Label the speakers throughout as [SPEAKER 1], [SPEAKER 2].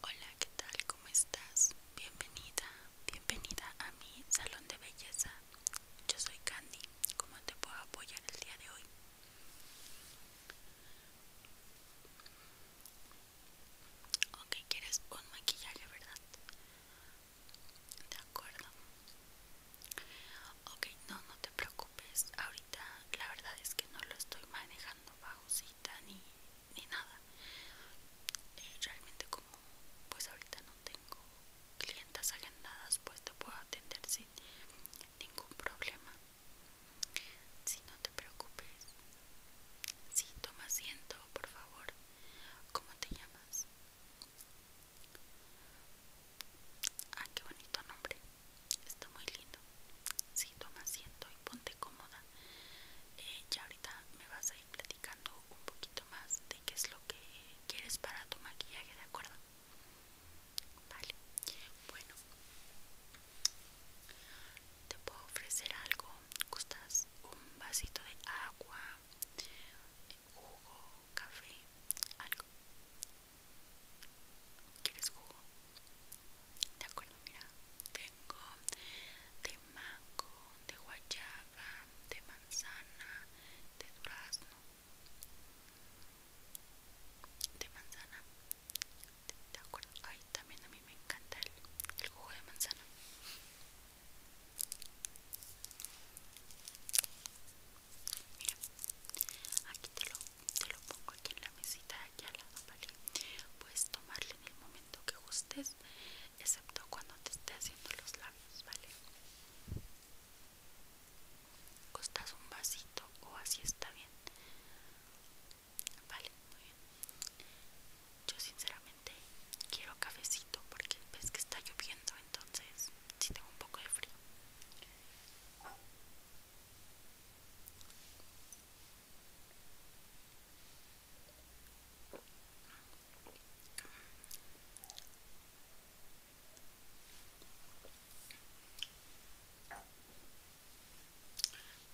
[SPEAKER 1] Hola, ¿qué tal? ¿Cómo estás? Bienvenida, bienvenida a mi salón de belleza. Yo soy Candy. ¿Cómo te puedo apoyar el día de hoy? Ok, quieres un maquillaje, ¿verdad? De acuerdo. Ok, no, no te preocupes. Ahorita la verdad es que no lo estoy manejando bajo cita ni, ni nada. Eh, realmente como pues ahorita no tengo clientas agendadas, pues te puedo atender sin ningún problema. Si no te preocupes. Si toma asiento, por favor. ¿Cómo te llamas? Ah, qué bonito nombre. Está muy lindo. Sí, toma asiento y ponte cómoda. Eh, ya ahorita me vas a ir platicando un poquito más de qué es lo que quieres para tu maquillaje, ¿de acuerdo? Vale. Bueno. Te puedo ofrecer algo. ¿Gustas un vasito de agua, jugo, café, algo? ¿Quieres jugo? De acuerdo, mira, tengo de mango, de guayaba, de manzana, de durazno, de manzana. De acuerdo, ay, también a mí me encanta el jugo de manzana. Mira, aquí te lo, te lo pongo aquí en la mesita de aquí al lado, ¿vale? Puedes tomarle en el momento que gustes, excepto cuando te esté haciendo los labios, ¿vale? Costas un vasito o así está bien. Vale, muy bien. Yo sinceramente quiero cafecito porque ves que está lloviendo, entonces si tengo un poco de frío.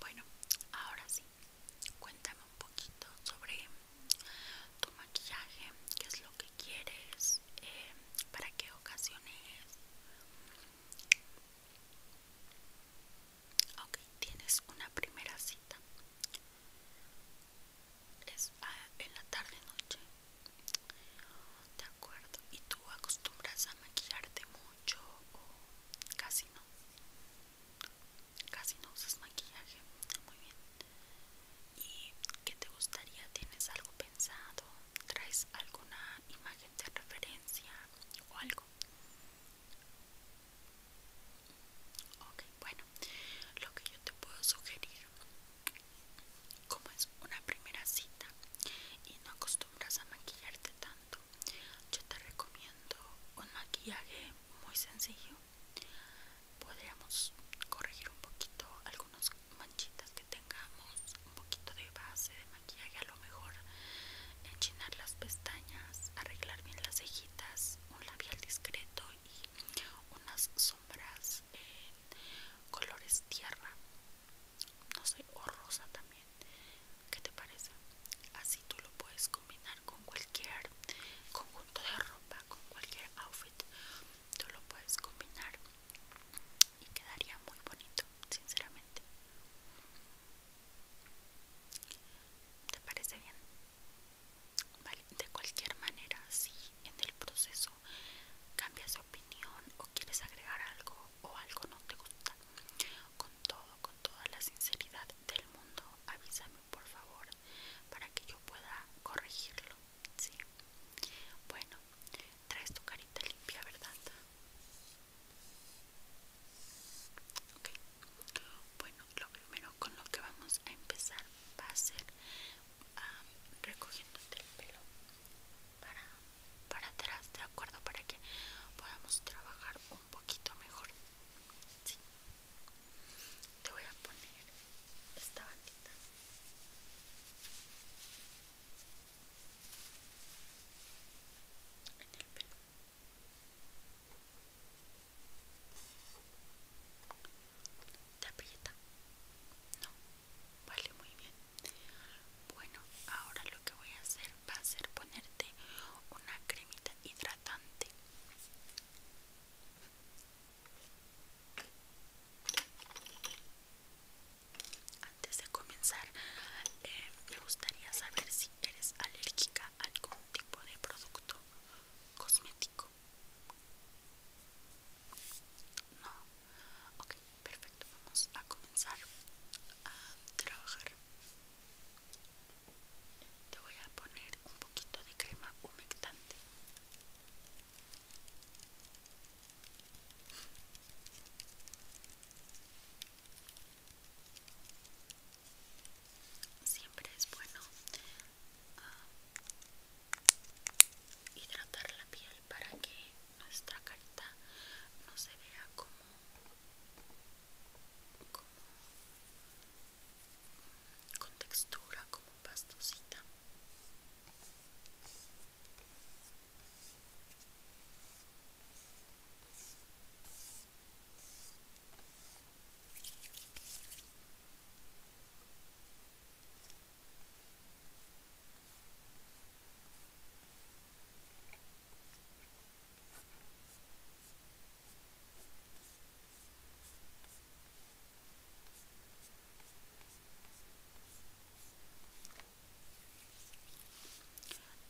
[SPEAKER 1] Bueno, ahora sí, cuéntame un poquito sobre tu maquillaje, qué es lo que quieres, eh, para qué ocasiones. Ok, tienes una primera cita. Es ah, en la tarde noche. De acuerdo. ¿Y tú acostumbras a maquillarte mucho o casi no? Casi no usas maquillaje. Muy bien. ¿Y qué te gustaría? ¿Tienes algo pensado? ¿Traes alguna imagen de referencia o algo? Ok, bueno, lo que yo te puedo sugerir, como es una primera cita y no acostumbras a maquillarte tanto, yo te recomiendo un maquillaje muy sencillo podríamos corregir un poquito algunas manchitas que tengamos un poquito de base de maquillaje a lo mejor enchinar las pestañas arreglar bien las cejitas un labial discreto y unas sombras en eh, colores tierra no sé o rosa también ¿Qué te parece? Así tú lo puedes combinar con cualquier conjunto de ropa, con cualquier outfit tú lo puedes combinar y quedaría muy bonito, sinceramente. ¿Te parece bien? Vale, de cualquier manera, si en el proceso cambias de opinión o quieres agregar algo o algo no te gusta, con todo, con toda la sinceridad del mundo, avísame por favor para que yo pueda corregirlo, ¿sí? Bueno, traes tu carita limpia, ¿verdad? Ok. Bueno, lo primero con lo que vamos a empezar va a ser recogiéndote el pelo para, para atrás, ¿de acuerdo? Para que podamos trabajar un poquito mejor. Sí te voy a poner esta bandita en el pelo te no vale muy bien bueno ahora lo que voy a hacer va a ser ponerte una cremita hidratante antes de comenzar, eh, me gustaría saber si eres alérgica a algún tipo de producto cosmético. No, ok, perfecto. Vamos a comenzar a trabajar. Te voy a poner un poquito de crema humectante Siempre es bueno ah, hidratar la piel para que nuestra carta no se vea como con textura como pastosita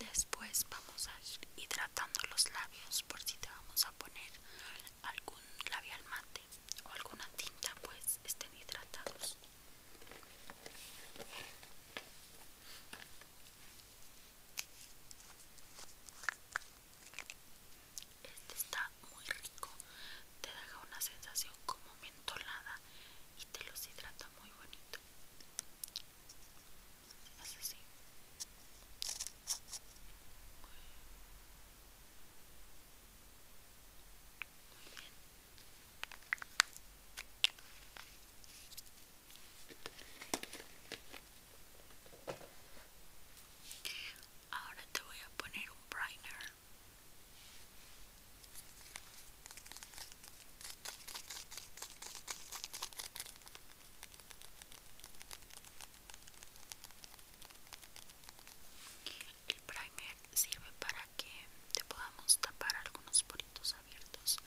[SPEAKER 1] Después vamos a ir hidratando los labios por si te vamos a poner algún labial mate o alguna tinta, pues estén hidratados. Este está muy rico, te deja una sensación como mentolada y te los hidrata muy bonito. Ahora te voy a poner un primer. El primer sirve para que te podamos tapar algunos poritos abiertos.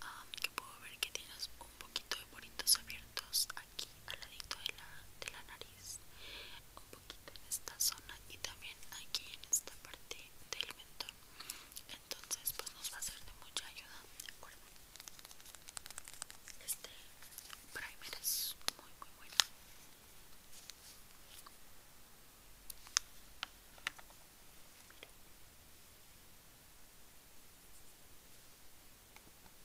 [SPEAKER 1] Ah, que puedo ver que tienes un poquito de poritos abiertos aquí al ladito de la, nariz un poquito en esta zona y también aquí en esta parte del mentón entonces pues nos va a ser de mucha ayuda de acuerdo este primer es muy muy bueno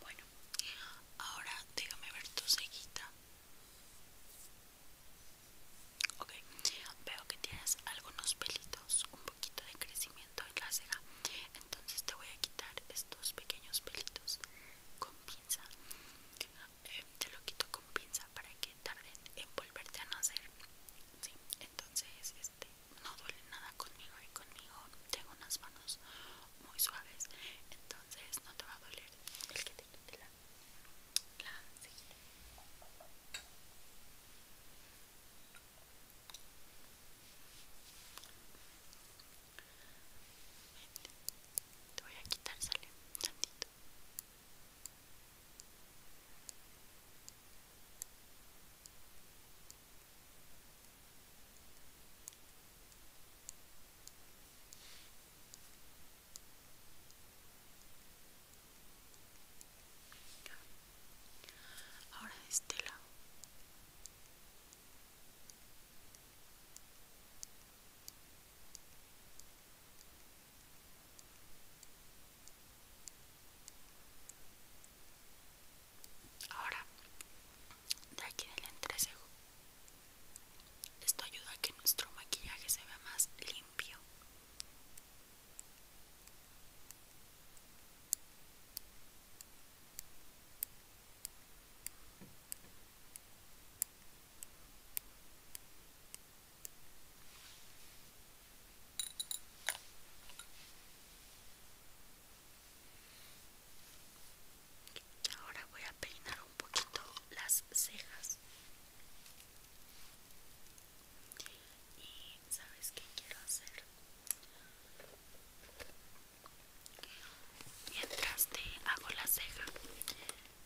[SPEAKER 1] Bueno, ahora déjame ver tu cejita. Ok, veo que tienes algunos pelitos, un poquito de crecimiento en la ceja. Entonces te voy a quitar estos pequeños pelitos con pinza eh, te lo quito con pinza para que tarde en volverte a nacer entonces este, no duele nada conmigo y conmigo tengo unas manos muy suaves entonces no te va a doler el que te quite la, la te voy a quitar, sale un tantito. Ahora de este lado. Ahora, de aquí del entrecejo, esto ayuda a que nuestro maquillaje se vea más limpio. Ahora voy a peinar un poquito las cejas. Y sabes qué quiero hacer? Mientras te hago la ceja,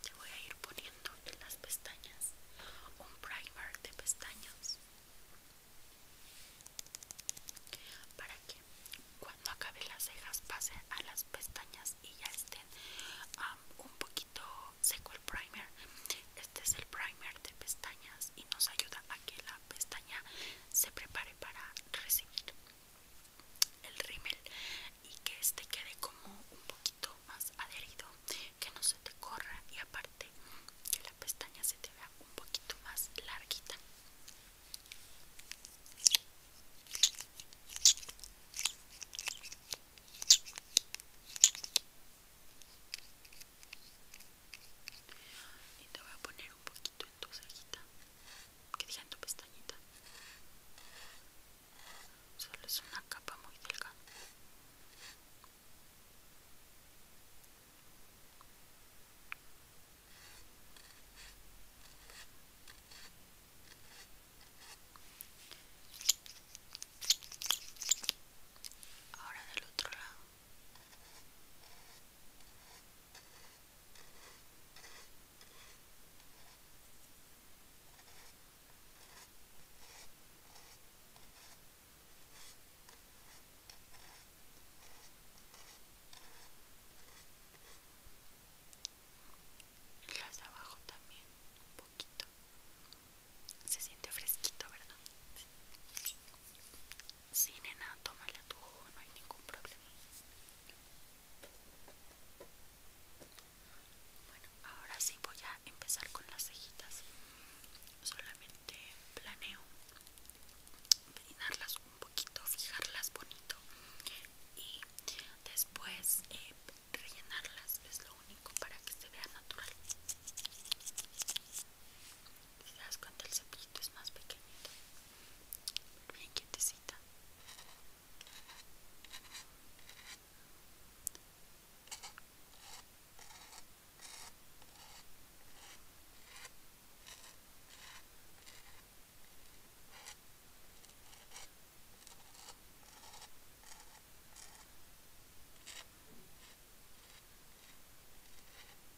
[SPEAKER 1] te voy a ir poniendo en las pestañas un primer de pestañas para que cuando acabe las cejas pase a las pestañas y ya estén un poquito seco el primer. Este es el primer de pestañas y nos ayuda a que la pestaña se prepare para recibir el rímel y que este quede como un poquito más adherido que no se te corra y aparte que la pestaña se te vea un poquito más larguita y te voy a poner un poquito en tu cejita que diga en tu pestañita solo es una capa muy delgada Ahora del otro lado las abajo también, un poquito. Se siente fresquito, ¿verdad? Sí, nena, el tú, no hay ningún problema. Bueno, ahora sí voy a empezar con las cejitas. Solamente planeo peinarlas un poquito, fijarlas bonito y después eh, rellenarlas. Es lo único para que se vea natural. Si te das cuenta, el cepillito es más pequeñito bien quietecita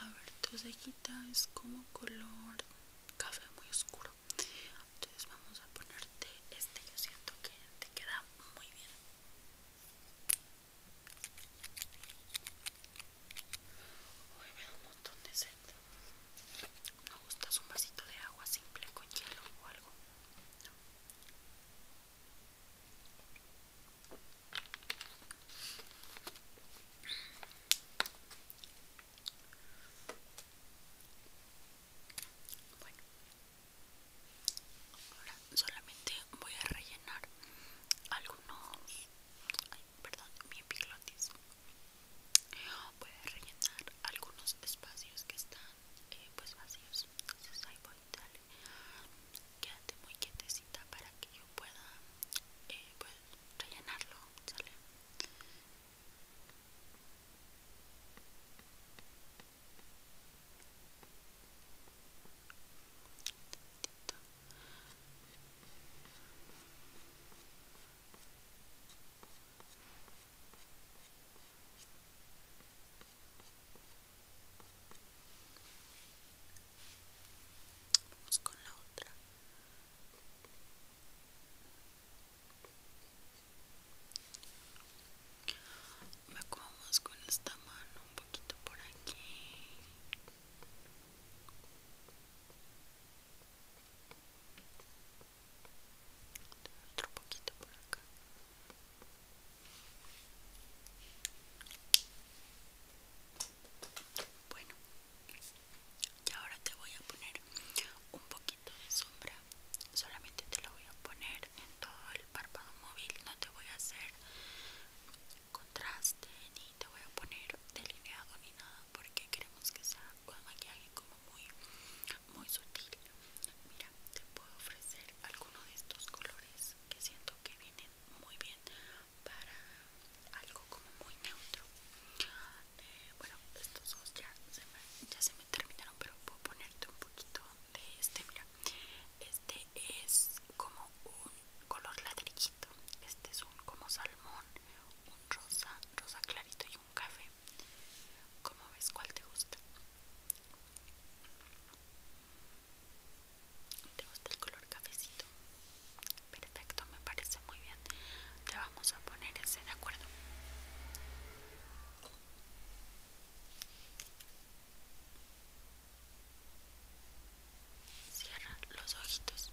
[SPEAKER 1] A ver, tu cejita es como color café muy oscuro entonces vamos a ponerte este yo siento que te queda muy bien Hoy me da un montón de sed ¿No gustas un vasito de agua simple con hielo o algo? No bueno, ahora solamente voy a rellenar algunos. perdón, mi Voy a rellenar algunos espacios que están eh, pues vacíos. Entonces ahí voy, dale. Quédate muy quietecita para que yo pueda eh, pues, rellenarlo, ¿sale? Vamos con la otra. Me Vamos con esta mano un poquito por aquí. Otro poquito por acá. Bueno, y ahora te voy a poner un poquito de sombra. Solamente te lo voy a poner en todo el párpado móvil. No te voy a hacer contraste ni te voy a poner delineado ni nada porque queremos que sea un maquillaje como muy, muy sutil. Mira, te puedo ofrecer alguno de estos colores que siento que vienen muy bien para algo como muy neutro eh, bueno estos dos ya se, me, ya se me terminaron pero puedo ponerte un poquito de este mira este es como un color ladrillito este es un como salmón un rosa rosa clarito y un café como ves cuál te gusta te gusta el color cafecito Perfecto, me parece muy bien. Te vamos a poner ese, ¿de acuerdo? Cierra los ojitos.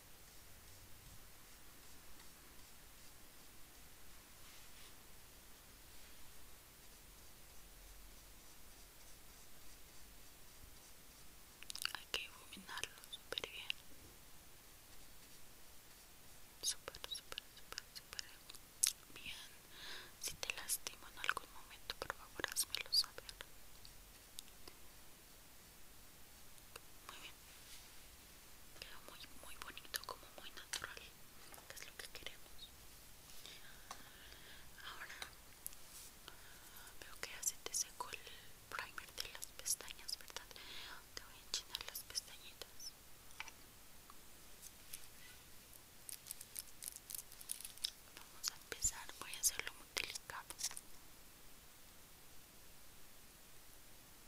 [SPEAKER 1] Hay que iluminarlo súper bien. Súper, súper, súper, súper bien. Si te lastimo en algún momento, por favor, házmelo saber. Muy bien. Quedó muy, muy bonito, como muy natural, que es lo que queremos. Ahora veo que hace te secó el primer de las pestañas, ¿verdad? Te voy a enchinar las pestañitas. Vamos a empezar, voy a hacerlo muy delicado.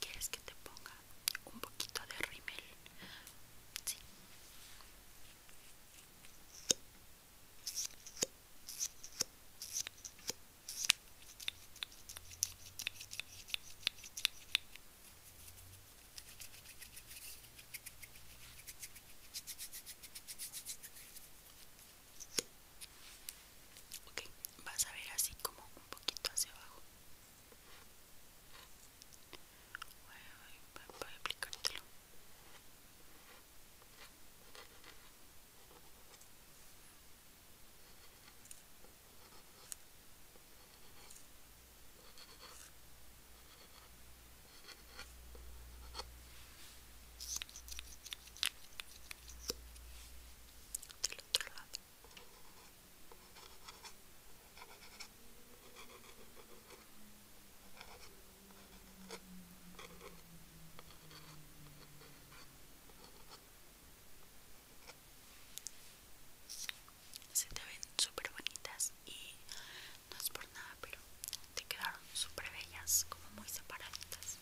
[SPEAKER 1] ¿Quieres que te ponga un poquito de rímel? Sí. Ok, vas a ver así como un poquito hacia abajo. Voy a, aplicártelo del otro lado se te ven súper bonitas y no es por nada pero te quedaron súper bellas como muy separaditas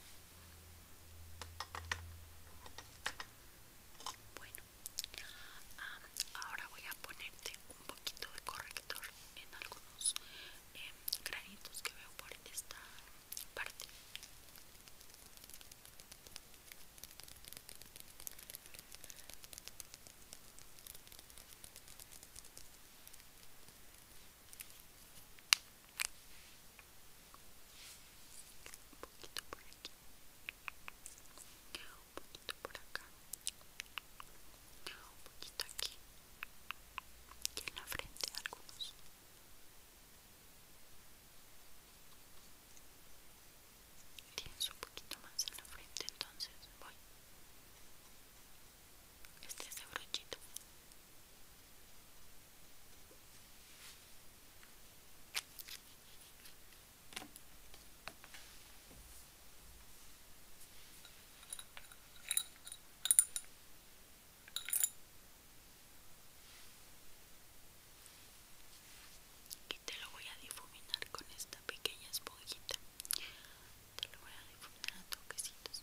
[SPEAKER 1] bueno, ahora voy a ponerte un poquito de corrector en algunos em, granitos que veo por esta parte. Un poquito por aquí. Un poquito por acá. Un poquito aquí. Y en la frente algunos. Tienes un poquito más en la frente, entonces voy este es de brochito y te lo voy a difuminar con esta pequeña esponjita te lo voy a difuminar a toquecitos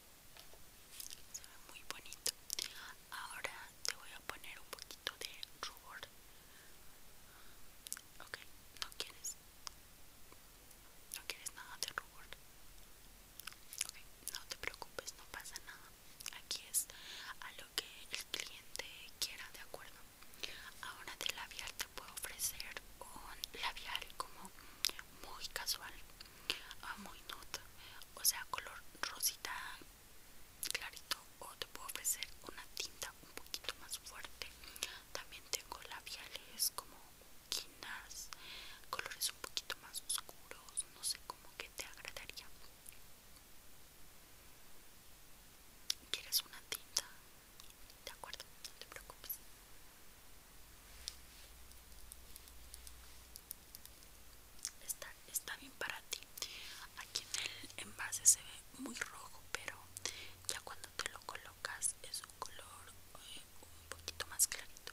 [SPEAKER 1] se ve muy bonito ahora te voy a poner un poquito de rubor ok no quieres no quieres nada de rubor ok no te preocupes no pasa nada aquí es a lo que el cliente quiera de acuerdo ahora de labial te puedo ofrecer un labial como muy casual ah, muy nota o sea color rosita clarito o te puedo ofrecer una tinta un poquito más fuerte también tengo labiales como quinas colores un poquito más oscuros no sé cómo que te agradaría quieres una tinta de acuerdo no te preocupes está, bien para ti aquí en el envase se ve muy rojo pero ya cuando te lo colocas es un color eh, un poquito más clarito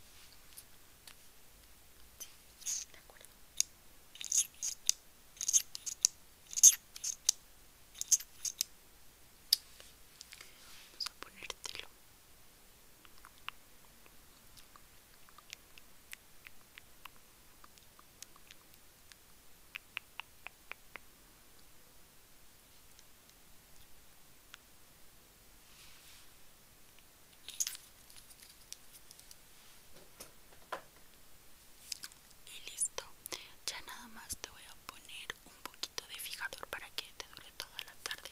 [SPEAKER 1] de acuerdo Vamos a ponértelo y listo, ya nada más te voy a poner un poquito de fijador para que te dure toda la tarde.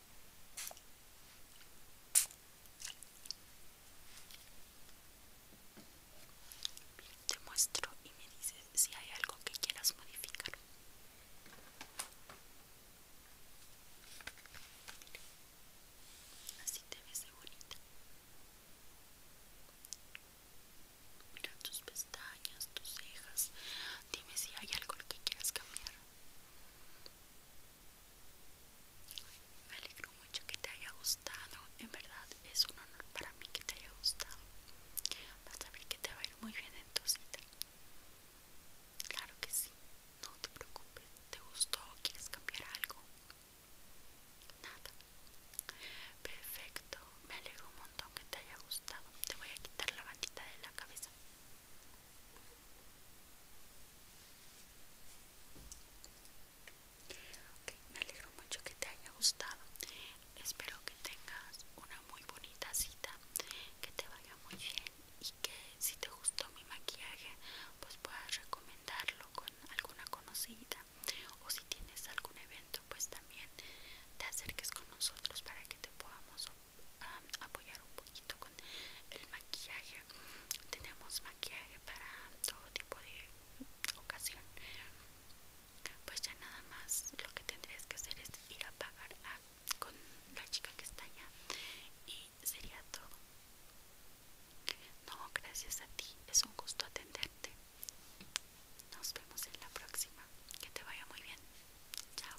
[SPEAKER 1] Te muestro y me dices si hay algo que quieras modificar. Así te ves bonita. Mira tus pestañas, tus cejas. Dime si hay algo que quieras cambiar. Me alegro mucho que te haya gustado. En verdad es un honor para mí que te haya gustado. Vas a ver que te va a ir muy bien en tu cita. Claro que sí. No te preocupes. ¿Te gustó? ¿Quieres cambiar algo? Nada. Perfecto. Me alegro un montón que te haya gustado. Te voy a quitar la bandita de la cabeza me alegro mucho que te haya gustado. Espero que tengas una muy bonita cita, que te vaya muy bien y que si te gustó mi maquillaje, pues puedas recomendarlo con alguna conocida o si tienes algún evento, pues también te acerques con nosotros para que te podamos um, apoyar un poco con el maquillaje tenemos maquillaje para todo tipo de ocasión pues ya nada más lo que tendrías que hacer es ir a pagar con la chica que está allá y sería todo no gracias a ti es un gusto atenderte nos vemos en la próxima que te vaya muy bien chao